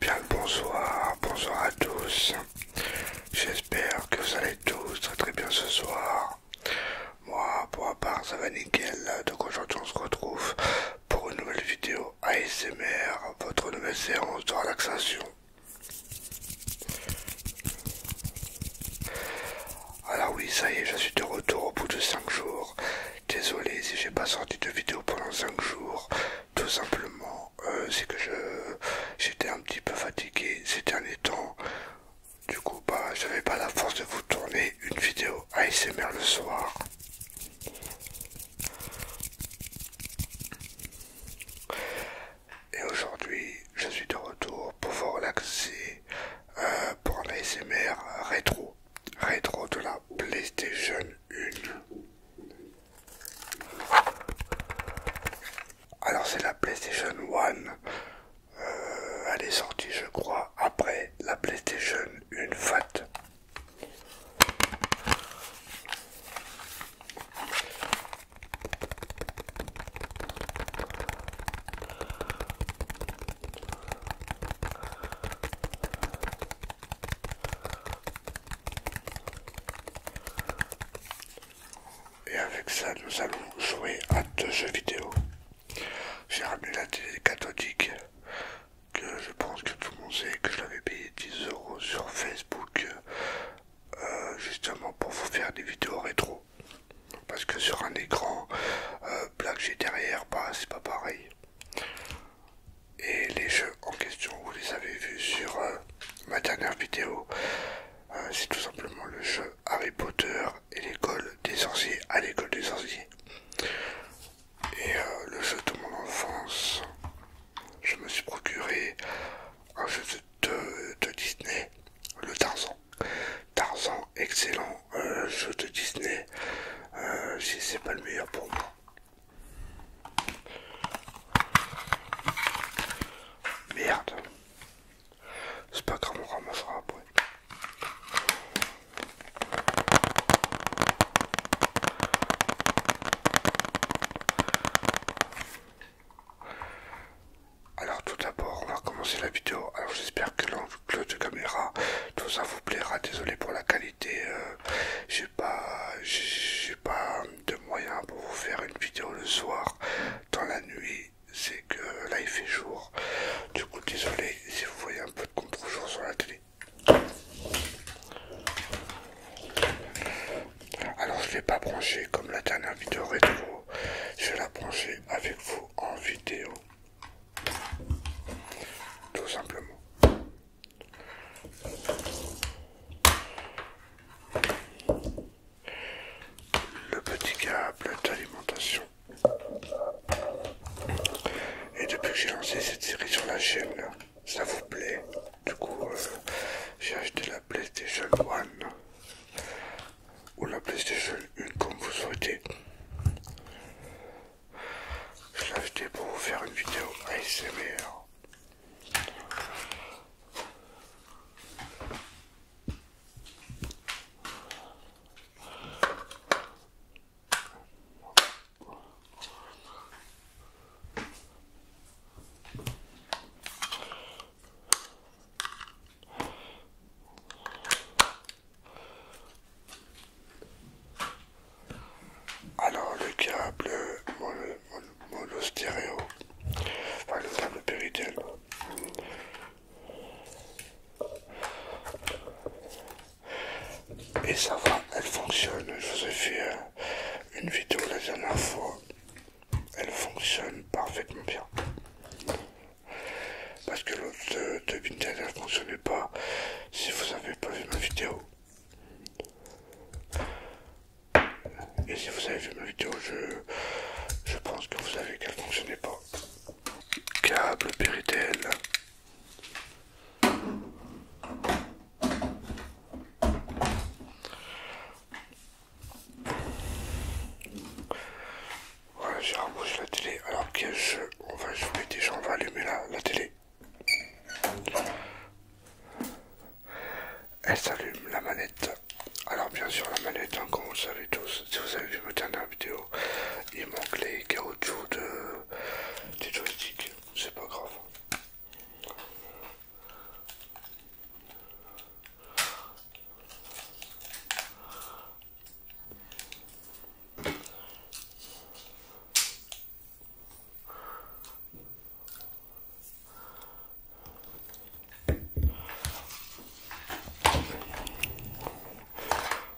Bien le bonsoir, bonsoir à tous. J'espère que vous allez tous très très bien ce soir. Moi, pour ma part, ça va nickel. Donc aujourd'hui, on se retrouve pour une nouvelle vidéo ASMR, votre nouvelle séance de relaxation. Alors oui, ça y est, je suis de retour au bout de 5 jours. Désolé si j'ai pas sorti de vidéo pendant 5 jours. Tout simplement, euh, c'est que j'étais un petit peu fatigué ces derniers temps. Du coup, bah, j'avais pas la force de vous tourner une vidéo. ASMR le soir. Et aujourd'hui, je suis de retour pour vous relaxer euh, pour un ASMR rétro. Rétro de la PlayStation 1. Alors c'est la PlayStation 1. Euh, elle est sortie je crois après la PlayStation une faute. Et avec ça, nous allons jouer à deux jeux vidéo. J'ai ramené la télé cathodique que je pense que tout le monde sait que je l'avais payé 10 euros sur Facebook euh, justement pour vous faire des vidéos rétro. Parce que sur un écran euh, j'ai derrière, pas bah, c'est pas pareil. Et les jeux en question, vous les avez vus sur euh, ma dernière vidéo. Euh, c'est tout simplement le jeu Harry Potter et l'école des sorciers à l'école des sorciers. Et euh, le jeu de mon enfance, je me suis procuré un jeu de, Disney, le Tarzan. Tarzan, excellent euh, jeu de Disney, euh, si c'est pas le meilleur pour moi. Merde, c'est pas grave, on ramassera après. Alors tout d'abord, on va commencer la vidéo. Alors j'espère que l'angle de caméra, tout ça vous plaira. Désolé pour la qualité. Euh, j'ai pas, j'ai pas de moyens pour vous faire une vidéo le soir dans la nuit. C'est que là il fait jour. Du coup, désolé si vous voyez un peu de contre-jour sur la télé. Alors, je ne l'ai pas brancher comme la dernière vidéo Je vais la brancher avec vous en vidéo. Tout simplement. Le petit câble d'alimentation et depuis que j'ai lancé cette série sur la chaîne, ça vous plaît. Du coup, euh, j'ai acheté la PlayStation One ou la PlayStation 1 comme vous souhaitez. Je l'ai acheté pour vous faire une vidéo ASMR. Alors le câble monostéréo, enfin le câble et ça va, elle fonctionne. Je vous ai fait euh, une vidéo la dernière fois. Elle fonctionne parfaitement bien. Parce que l'autre euh, de, elle ne fonctionnait pas. Si vous n'avez pas vu ma vidéo. Et si vous avez vu ma vidéo, je, je pense que vous savez qu'elle ne fonctionnait pas câble Péritel. Voilà, j'ai remboursé la télé. Alors qu'est-ce on va, jouer déjà, on va allumer la, la télé. Elle s'allume la manette. Alors bien sûr la manette, Encore, hein, vous savez tous, si vous avez vu matin vidéo, il manque les caoutchoucs de, des joysticks, c'est pas grave.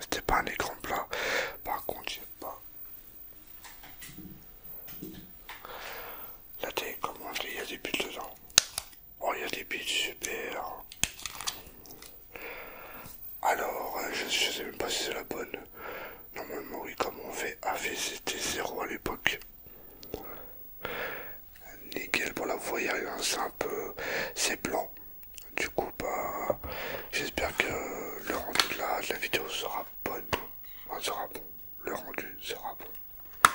C'était pas un écran plat. Par contre, j'ai pas la télécommande. Il y a des bits dedans. Oh, il y a des bits, super. Alors, euh, je, sais même pas si c'est la bonne. Normalement, oui, comme on fait c'était 0 à l'époque. Nickel pour la voyage, hein, c'est un peu. C'est blanc, du coup, bah, j'espère que le rendu de la, vidéo sera bonne. bon. Le rendu sera bon.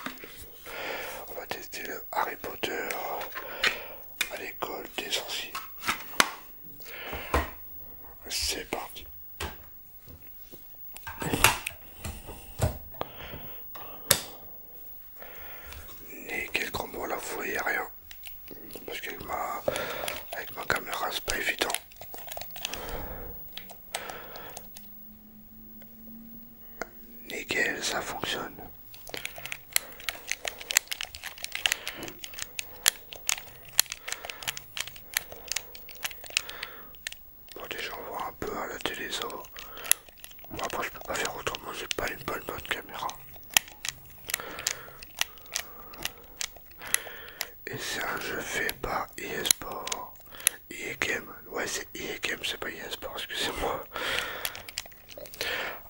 On va tester le Harry Potter à l'école des sorciers. C'est parti. Et quelques mots, là, vous voyez rien parce qu'avec ma, avec ma caméra c'est pas évident. Nickel, ça fonctionne. Bon déjà on voit un peu à la télé ça Bon, après je peux pas faire autrement, j'ai pas une bonne bonne caméra. Et ça, je fais fait par eSport. Game. Ouais, c'est e Game, c'est pas eSport, excusez-moi.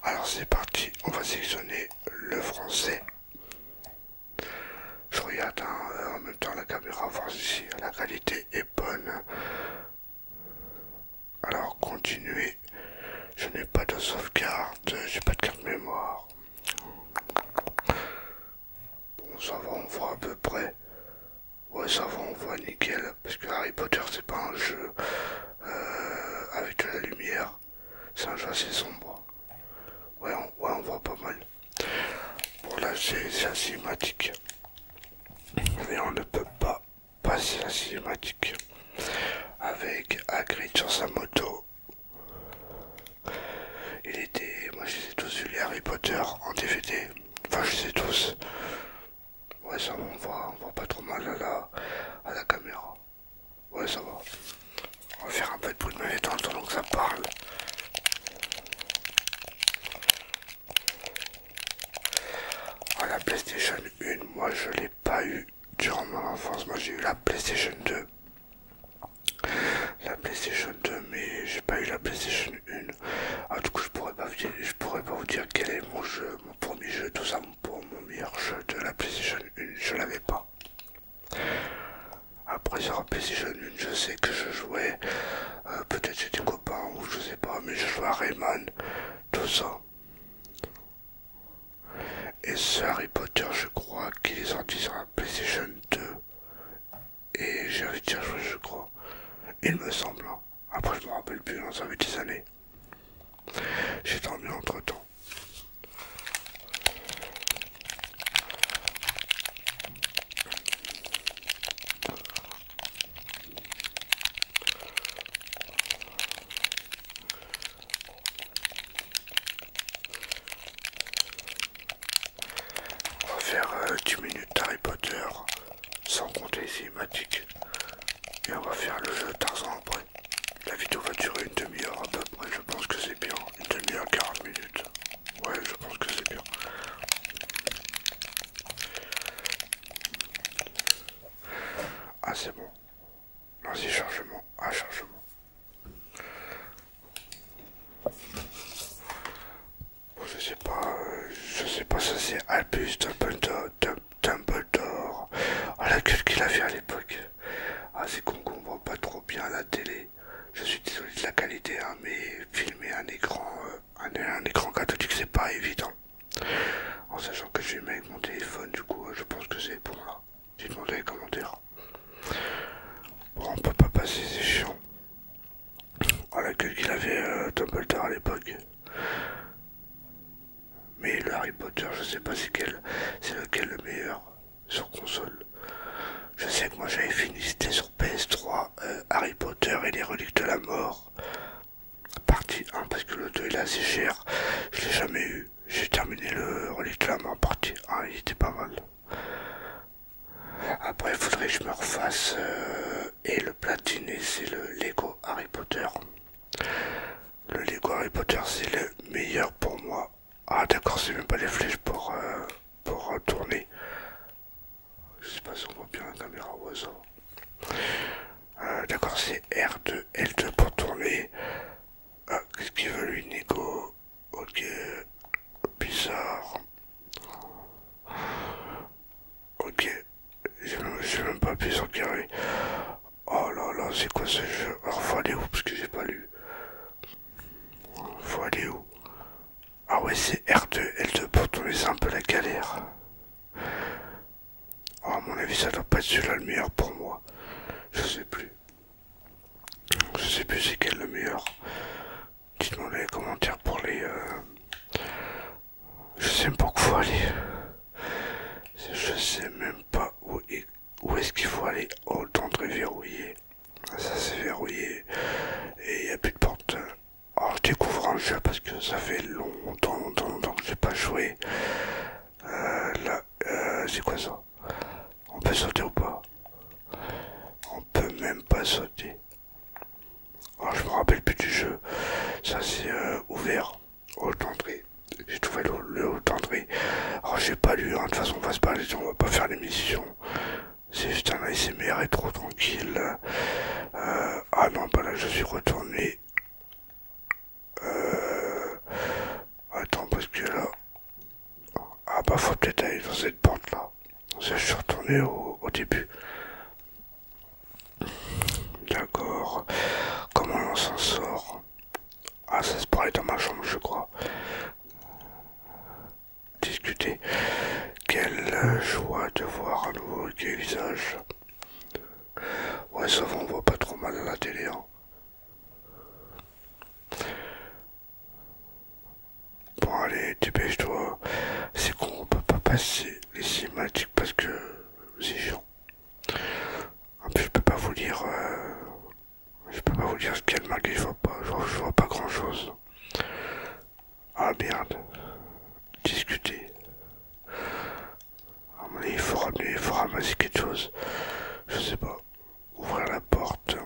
Alors c'est parti, on va sélectionner le français. Je regarde hein, en même temps la caméra, voir si la qualité est bonne. Alors continuez. Je n'ai pas de sauvegarde, j'ai pas de carte mémoire. Bon, ça va, on voit à peu près. Ouais, ça va, on voit nickel. Parce que Harry Potter, c'est pas un jeu euh, avec de la lumière. C'est un jeu assez sombre. Ouais on, on voit pas mal. Bon, là, c'est assez cinématique. Mais on ne peut pas Passer la cinématique avec Hagrid sur sa moto. Il était, moi je les ai tous vu les Harry Potter en DVD, enfin je les ai tous. Ouais ça va, on voit, on voit pas trop mal à la, à la caméra. Ouais ça va. On va faire un peu de bruit de manette en attendant que ça parle. à la PlayStation 1, moi je l'ai pas eu durant mon enfance, moi j'ai eu la PlayStation 2. La PlayStation 2, mais j'ai pas eu la PlayStation 1. En tout cas, je pourrais pas vous dire, je pourrais pas vous dire quel est mon jeu, mon premier jeu, tout ça, mon meilleur jeu de la PlayStation 1. Je l'avais pas. Après sur la PlayStation 1, je sais que je jouais, euh, peut-être j'ai des copains ou je sais pas, mais je jouais à Rayman, tout ça. Et ce Harry Potter, je crois qu'il est sorti sur la PlayStation 2. Et de déjà joué, je crois. Il me semble. Hein. Après, je me rappelle plus, ça fait des années. J'ai dormi entre temps. On va faire 10 euh, minutes Harry Potter sans compter les cinématiques et on va faire le jeu Tarzan après. La vidéo va durer une demi-heure à peu près, je pense que c'est bien. Une demi-heure, 40 minutes. Ouais, je pense que c'est bien. Ah, c'est bon. Vas-y, chargement. à ah, chargement. je sais pas, euh, je sais pas, ça c'est Albus Dumbledore, Ah Oh la gueule qu'il avait à l'époque. Ah, c'est qu'on voit pas trop bien la télé. Je suis désolé de la qualité, hein, mais filmer un écran, euh, un écran cathodique, c'est pas évident. En sachant que j'ai mis avec mon téléphone, du coup, je pense que c'est bon là. J'ai demandé les commentaires. Bon, on peut pas passer, c'est chiant. Oh la qu'il avait euh, à l'époque. Mais le Harry Potter, je sais pas c'est quel, c'est lequel le meilleur sur console. Je sais que moi j'avais fini, c'était sur PS3, euh, Harry Potter et les reliques de la mort partie 1 parce que le 2 il est assez cher. Je l'ai jamais eu. J'ai terminé le mais en partie 1, il était pas mal. Après, il faudrait que je me refasse. Euh, et le platine, c'est le Lego Harry Potter. Le Lego Harry Potter, c'est le meilleur pour moi. Ah, d'accord, c'est même pas les flèches pour, euh, pour tourner. Je sais pas si on voit bien la caméra au euh, d'accord, c'est R2, L2 pour tourner. Ah, qu'est-ce qu'il veut lui, Nico Ok, bizarre. Ok, je suis même pas pu en carré Oh là là, c'est quoi ce jeu Alors faut aller où Parce que j'ai pas lu. Faut aller où Ah ouais, c'est R2, L2 pour tourner, c'est un peu la galère. A oh, mon avis, ça doit pas être celui-là le meilleur pour moi. Je sais plus. Je sais plus c'est quel le meilleur. Dites-moi dans les commentaires pour les. Euh, je sais même pas où faut aller. Je sais même pas où, est... ce qu'il faut aller. Oh, le tendre verrouillé. Ça c'est verrouillé. Et il n'y a plus de porte. Alors, oh, je découvre un jeu parce que ça fait longtemps, longtemps, longtemps que n'ai pas joué. Euh, là, euh, c'est quoi ça On peut sauter ou pas On peut même pas sauter. Ah, je me rappelle plus du jeu. Ça, c'est euh, ouvert. Haute entrée. J'ai trouvé le, haut haute j'ai pas lu. Hein. De toute façon, on va se parler. On va pas faire l'émission. C'est juste un ASMR et trop tranquille. ah non, bah là, je suis retourné euh, attends, parce que là... Ah bah faut peut-être aller dans cette porte là. Je suis retourné au, début. D'accord. Comment on s'en sort Ah ça se parlait dans ma chambre je crois. Discuter. Quelle euh, joie de voir un nouveau visage. Ouais, ça on voit pas trop mal à la télé. Hein. Bon, allez, dépêche-toi. C'est qu'on on peut pas passer les cinématiques parce que c'est chiant. En plus, je peux pas vous dire. Euh, je peux pas vous dire ce qu'il y a de mal je vois pas, je vois pas grand chose. Ah merde. Discuter. Ah, il faut ramasser quelque chose. Je sais pas. Ouvrir la porte.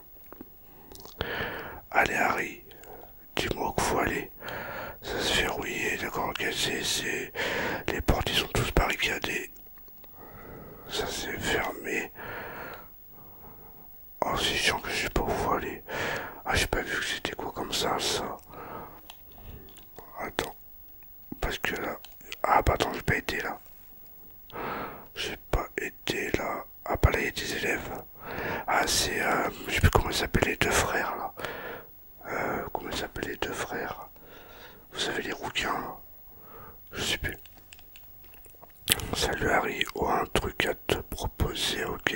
Allez, Harry. Dis-moi qu'il faut aller. Ça se fait rouiller, d'accord, ok, Les portes, ils sont tous barricadées. Ça s'est fermé. Oh, c'est chiant que je sais pas où faut aller. Ah, j'ai pas vu que c'était quoi comme ça, ça. Attends. Parce que là... Ah bah attends, j'ai pas été là. J'ai pas été là. Ah bah là, il y a des élèves. Ah c'est... Euh, je sais plus comment ils s'appellent les deux frères là. Euh, comment ils s'appellent les deux frères Vous savez les rouquins Je sais plus. Salut Harry, oh, un truc à te proposer, ok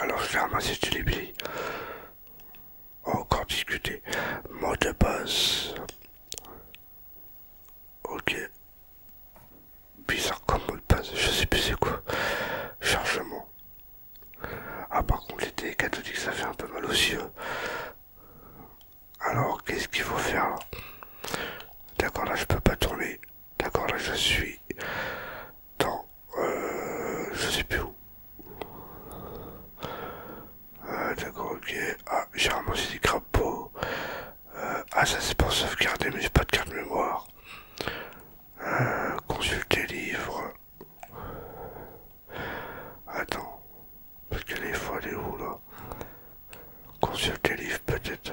Alors je vais ramasser les libri. Encore discuter. Mot de passe. Ok. Bizarre comme mot de passe. Je sais plus c'est quoi. Chargement. Ah par contre les télécathodiques ça fait un peu mal aux yeux. Alors qu'est-ce qu'il faut faire D'accord là je peux pas tourner. D'accord, là je suis dans... Euh, je sais plus où. Euh, d'accord, ok. Ah, j'ai ramassé des crapauds. Euh, ah, ça c'est pour sauvegarder, mais j'ai pas de carte mémoire. consulter livre. Attends. Parce que les fois, elle est où là Consulter livre peut-être.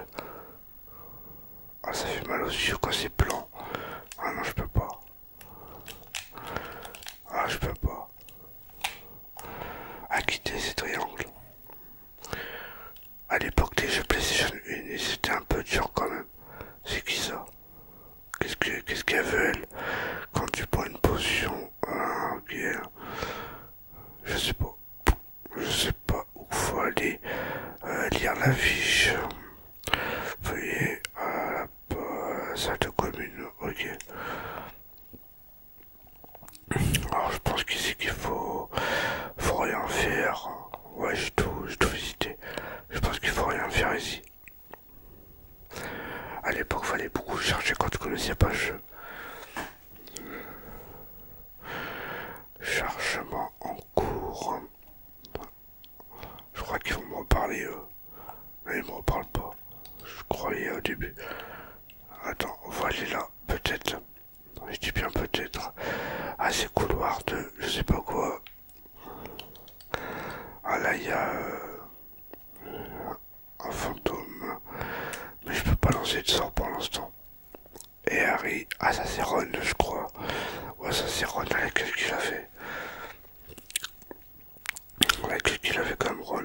Ah, ça fait mal aux yeux quand c'est blanc. Ah non, je peux pas. Ah, je peux pas. À quitter ces triangles. À l'époque des jeux PlayStation 1, c'était un peu dur quand même. C'est qui ça Qu'est-ce qu'elle veut elle Quand tu prends une potion. Ah, ok. Je sais pas. Je sais pas où faut aller euh, lire la fiche. Veuillez à euh, la salle de commune. Ok. Alors je pense qu'ici qu'il faut, faut rien faire. Ouais, j'ai tout, visité. Je pense qu'il faut rien faire ici. A l'époque, fallait beaucoup chercher quand tu connaissais pas le jeu. Chargement en cours. Je crois qu'ils vont me parler eux. Mais ils me parlent pas. Je croyais au début. Attends, on là, peut-être. Je dis bien peut-être. à ces couloirs de je sais pas quoi. Ah là, il y a euh, un fantôme. Mais je peux pas lancer de sort pour l'instant et Harry à Ron, je crois, ça c'est Ron avec lequel il a fait. qui il avait comme Ron.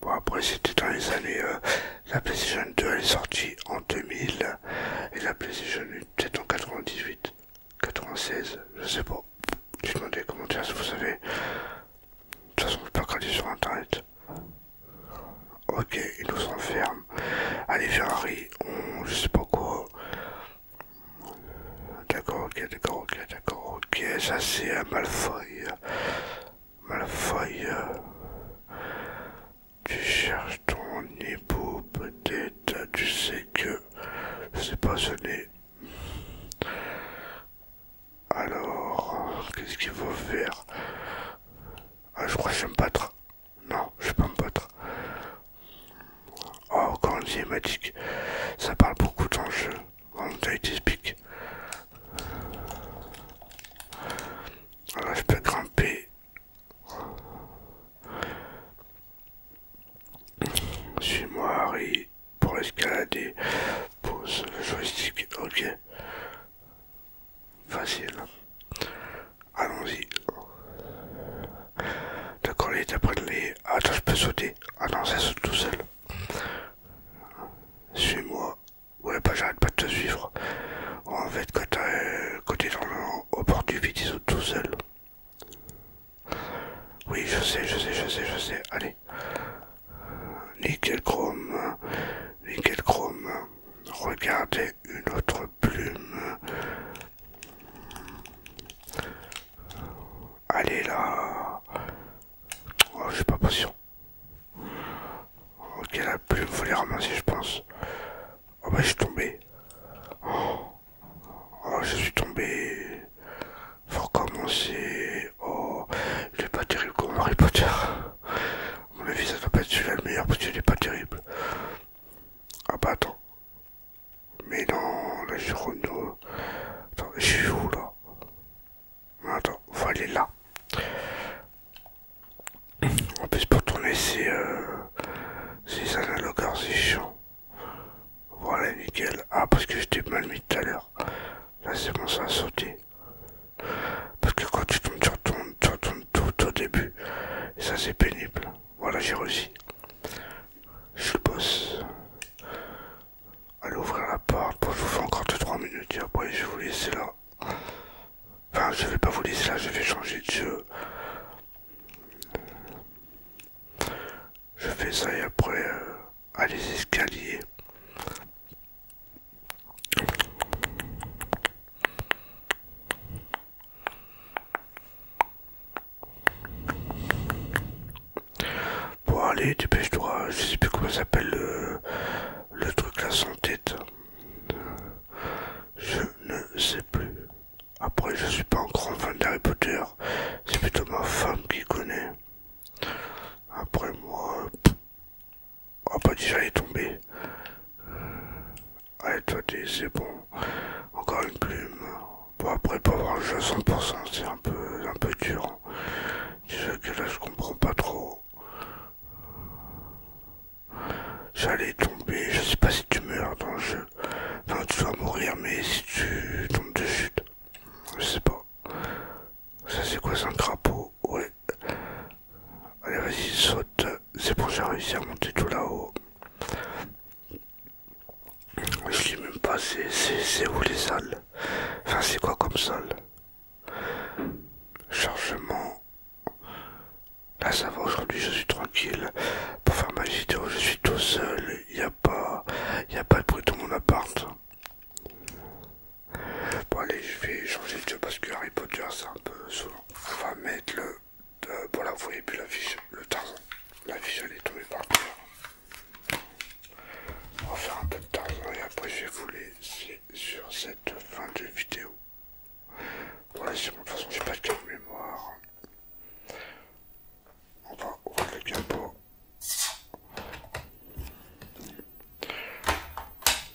Bon, après, c'était dans les années. Euh, la PlayStation 2 elle est sortie en 2000 et la PlayStation 1 peut-être en 98, 96, je sais pas. Je demandes comment commentaires si vous savez. De toute façon, je peux regarder sur internet. Ok, il nous enferme, Allez, Harry je sais pas quoi. D'accord, ok, d'accord, ok, d'accord, ok, ça c'est un Malfoy. Malfoy, tu cherches ton époux peut-être, tu sais que, c'est pas, ce nez... Alors, qu'est-ce qu'il faut faire Ah, je crois que je pas me non, je vais pas me battre. Oh, quand on dit ça parle beaucoup dans le jeu. En te explique. Alors, je peux grimper suis-moi Harry pour escalader pose joystick ok facile Allons-y. D'accord, les après les. Attends, je peux sauter. Ah non, ça saute tout seul. Suis-moi. Ouais, pas bah, j'arrête pas de te suivre. En fait, quand côté dans le, au du tout seul. Oui, je sais, je sais, je sais, je sais. Allez. Nickel chrome. Nickel chrome. Regardez une autre plume. Allez là. Oh, je suis pas patient. Ok, la plume, faut les ramasser, je pense. Oh bah, je suis tombé. Oh, je suis tombé. Faut recommencer. Oh, il est pas terrible comme Harry Potter. mon avis, ça va pas être celui-là le meilleur parce qu'il est pas terrible. Ah bah attends. Mais non, là je suis Attends, je suis où là ah, Attends, faut aller là. En plus pour tourner euh, ces analogues, hein, c'est chiant. Voilà, nickel. Ah, parce que j'étais mal mis tout à l'heure. Là c'est bon, ça a sauté. Parce que quand tu tombes, tu retournes, tout au début. Et ça, c'est pénible. Voilà, j'ai réussi. Je bosse. le boss. Allez ouvrir la porte. pour je vous fais encore 2-3 minutes. après, je vais vous laisser là. Enfin, je vais pas vous laisser là, je vais changer de jeu. Je fais ça et après, euh, allez à les escaliers. Bon allez, dépêche-toi, je sais plus comment s'appelle le, truc là sans tête. Je ne sais plus. Après, je suis pas un grand fan d'Harry Potter. C'est plutôt ma femme qui connaît. Après moi, Oh pas déjà les tomber. tombé. Euh, Allez toi c'est bon. Encore une plume. Bon après pas avoir le jeu à 100% c'est un peu un peu dur. Déjà que là je comprends pas trop. J'allais tomber, je sais pas si tu meurs dans le jeu. Non, tu dois mourir mais si tu tombes de chute. Je sais pas. Ça c'est quoi c'est un crapaud Ouais. Allez, vas-y, saute. C'est bon, j'ai réussi à monter tout là-haut. Je sais même pas, c'est où les salles Enfin, c'est quoi comme salle Chargement. Là, ça va, aujourd'hui, je suis tranquille. Pour faire ma vidéo, je suis tout seul. Il n'y a, pas, Il y a pas de bruit dans mon appart. Bon, allez, je vais changer de jeu parce que Harry Potter, c'est un peu souvent on va mettre le... voilà, vous voyez plus la vision le Tarzan. La vision est tombée par terre. On va faire un peu de Tarzan et après, je vais vous laisser sur cette fin de vidéo. Voilà, c'est bon, de toute façon, j'ai pas de carte mémoire. On va ouvrir le capot.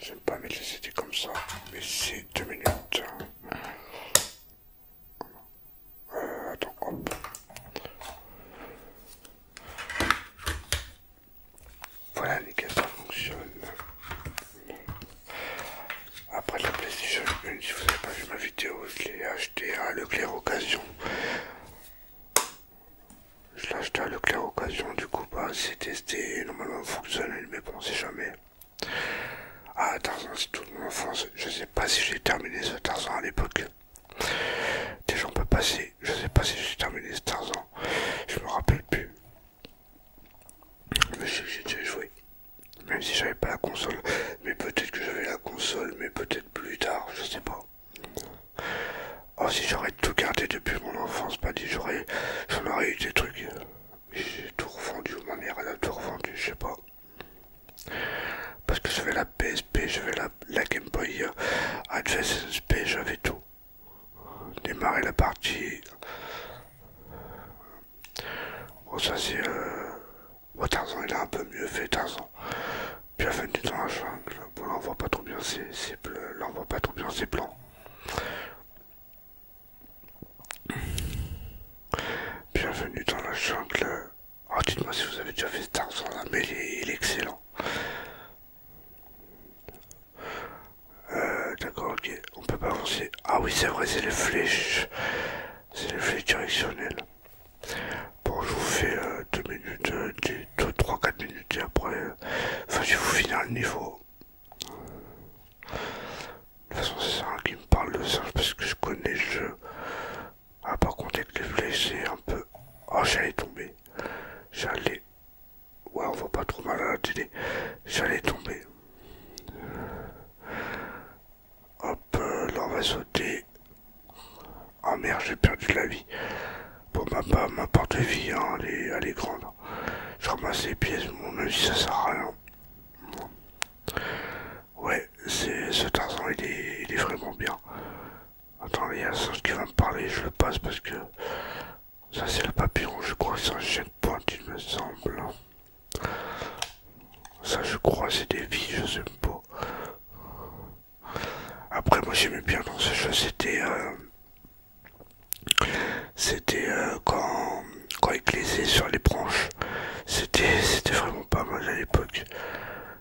J'aime pas mettre les CD comme ça, mais c'est 2 minutes. Euh, voilà les hop. Voilà, ça fonctionne. Après la PlayStation 1, si vous n'avez pas vu ma vidéo, je l'ai acheté à Leclerc Occasion. Je l'ai acheté à Leclerc Occasion, du coup, bah, c'est testé, normalement fonctionne, mais bon, on jamais. Ah, Tarzan, c'est toute mon enfance. Je sais pas si j'ai terminé ce Tarzan à l'époque. Déjà gens peuvent passer. Je sais pas si j'ai terminé ce Tarzan. Je me rappelle plus. Mais je sais j'ai déjà joué. Même si j'avais pas la console. Mais peut-être que j'avais la console, mais peut-être plus tard. Je sais pas. Oh, si j'aurais tout gardé depuis mon enfance, pas dit j'aurais. J'en eu des trucs j'ai tout revendu, ma mère elle a tout revendu, je sais pas. Parce que je j'avais la PSP, je la, la Game Boy euh, Advance SP, j'avais tout. Démarrer la partie. Bon, ça c'est. Euh, bon, Tarzan il a un peu mieux fait, Tarzan. Puis la fin du temps, la jungle. Bon, on voit pas trop bien, c'est Là on voit pas trop bien, ses plans. Bienvenue dans la jungle. Oh, dites-moi si vous avez déjà fait Tarzan là, mais il est, excellent. Euh, D'accord, ok. On peut pas avancer. Ah oui, c'est vrai, c'est les flèches. C'est les flèches directionnelles. Bon, je vous fais 2 euh, minutes... minutes, euh, 3-4 minutes et après, euh, enfin, je vais vous finir le niveau. De toute façon, c'est ça qui me parle de singe parce que je connais le jeu. Ah, par contre, avec les flèches, c'est un peu. Oh, j'allais tomber. J'allais. Ouais, on voit pas trop mal à la télé. J'allais tomber. Hop, euh, là, on va sauter. Oh merde, j'ai perdu la vie. Bon, ma, porte vie, hein, elle est grande. Je ramasse les pièces, mon mon avis ça sert à rien. Ouais, c'est ce Tarzan, il est, il est vraiment bien. Attends, il y a un qui va me parler, je le passe parce que ça c'est le papillon, je crois que c'est un pointe il me semble. Ça je crois c'est des vies, je sais pas. Après moi j'aimais bien dans ce jeu, c'était euh, c'était euh, quand, quand il glissait sur les branches. C'était c'était vraiment pas mal à l'époque.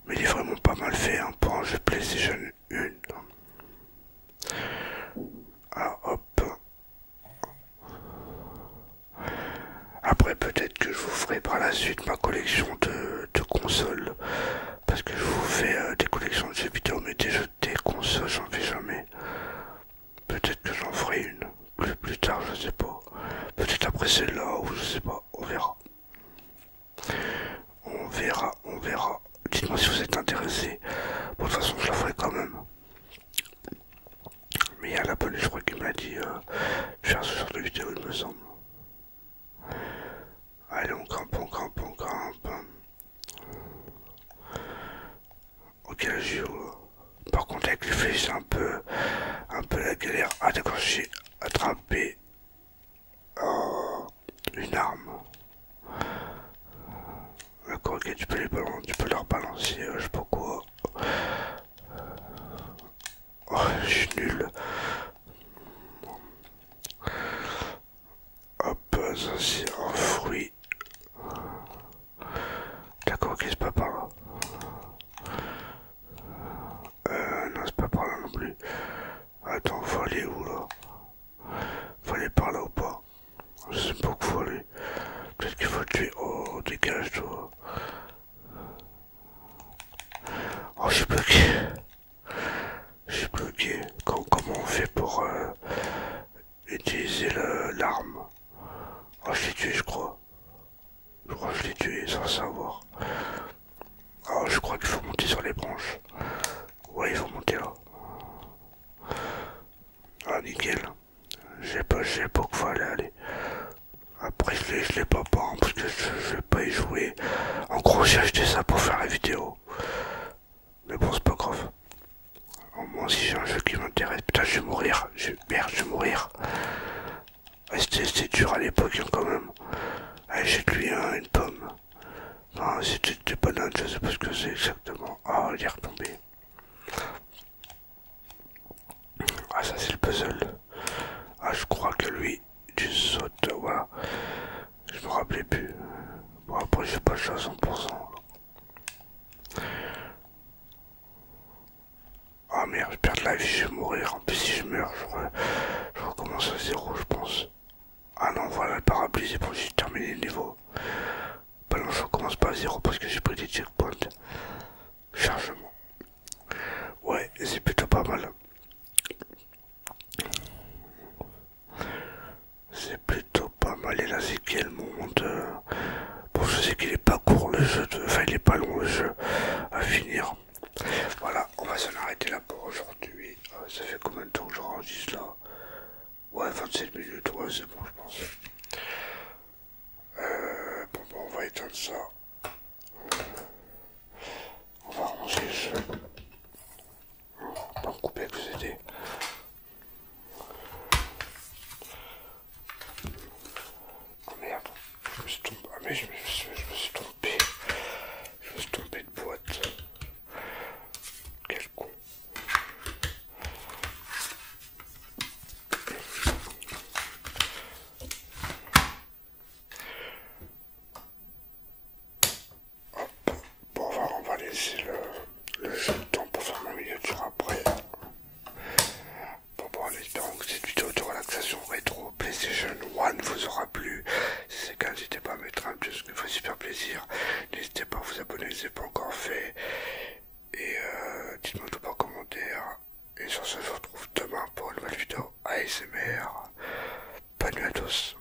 Mais il est vraiment pas mal fait hein, pour un jeu PlayStation 1. Ah, hop. Après peut-être que je vous ferai par la suite ma collection de, consoles. Parce que je vous fais euh, des collections de Jupiter, mais des des consoles, j'en fais jamais. Peut-être que j'en ferai une. Plus, tard, je sais pas. Peut-être après celle-là, ou je sais pas. On verra. On verra, on verra. Dites-moi si vous êtes intéressé. de toute façon, je la ferai quand même. Mais il y a la police, je crois qu'il m'a dit euh, faire ce genre de vidéo, il me semble. Allez, on campe, on campe, on campe. Ok, eu Par contre, avec les feuilles, c'est un peu, un peu la galère. Ah, d'accord, j'ai attrapé euh, une arme. D'accord, ok, tu peux, les balancer, tu peux leur balancer, euh, je sais pas quoi. Oh, je suis nul. Hop, ça c'est un fruit. D'accord, qu'est-ce pas par là Euh, non, c'est pas par là non plus. Attends, faut aller où là Faut aller par là ou pas Je sais pas où faut aller. Peut-être qu'il faut tuer. Oh, dégage toi. Oh, je suis bloqué. Je suis bloqué. Comment, on fait pour euh, utiliser l'arme. Oh, je l'ai tué, je crois. Je crois que je l'ai tué sans savoir. Oh, je crois qu'il faut monter sur les branches. Ouais, il faut monter là. Ah, nickel. J'ai pas, j'ai pas quoi aller. Après, je l'ai pas pas, parce que je, je vais pas y jouer. En gros, j'ai acheté ça pour faire la vidéo. Mais bon, c'est pas grave. Au moins, si j'ai un jeu qui m'intéresse. Putain, je vais mourir. Je... Merde, je vais mourir. Ah, c'était dur à l'époque hein, quand même. Ah, J'ai lui une pomme. Non, c'était pas bananes, je sais pas ce que c'est exactement. Ah, il est retombé. Ah, ça c'est le puzzle. Ah, je crois que lui, tu sautes, voilà. Je me rappelais plus. Bon, après, je pas le à 100%. Ah merde, je perds de la vie, je vais mourir. En plus, si je meurs, je, recommence à zéro, je pense. Ah non, voilà, le parapluie, c'est bon, j'ai terminé le niveau. Bah non, je recommence pas à zéro parce que j'ai pris des checkpoints. Chargement. Ouais, c'est plutôt pas mal. C'est plutôt pas mal. Et là, c'est qu'elle monte. Euh. Bon, je sais qu'il est pas court le jeu, enfin, il est pas long le jeu à finir. Voilà, on va s'en arrêter là pour aujourd'hui. Euh, ça fait combien de temps que j'enregistre là Ouais, 27 minutes, ouais, c'est bon, je pense. Euh, bon, bon, on va éteindre ça. On va ranger jeu. On va me avec le Oh merde, je me suis tombé. Ah mais je me suis, je tombé. Je me suis tombé de boîte. Quel con. Hop. Bon, on va, laisser le, jeu temps pour faire ma miniature après. Bon, bon, allez, donc cette vidéo de relaxation rétro PlayStation One vous aura plu. Si c'est le cas, n'hésitez pas à mettre un petit, ça fait super plaisir. N'hésitez pas à vous abonner si ce n'est pas encore fait. Et euh, dites-moi tout en commentaire. Et sur ce, je vous retrouve demain pour une nouvelle vidéo ASMR. Bonne nuit à tous.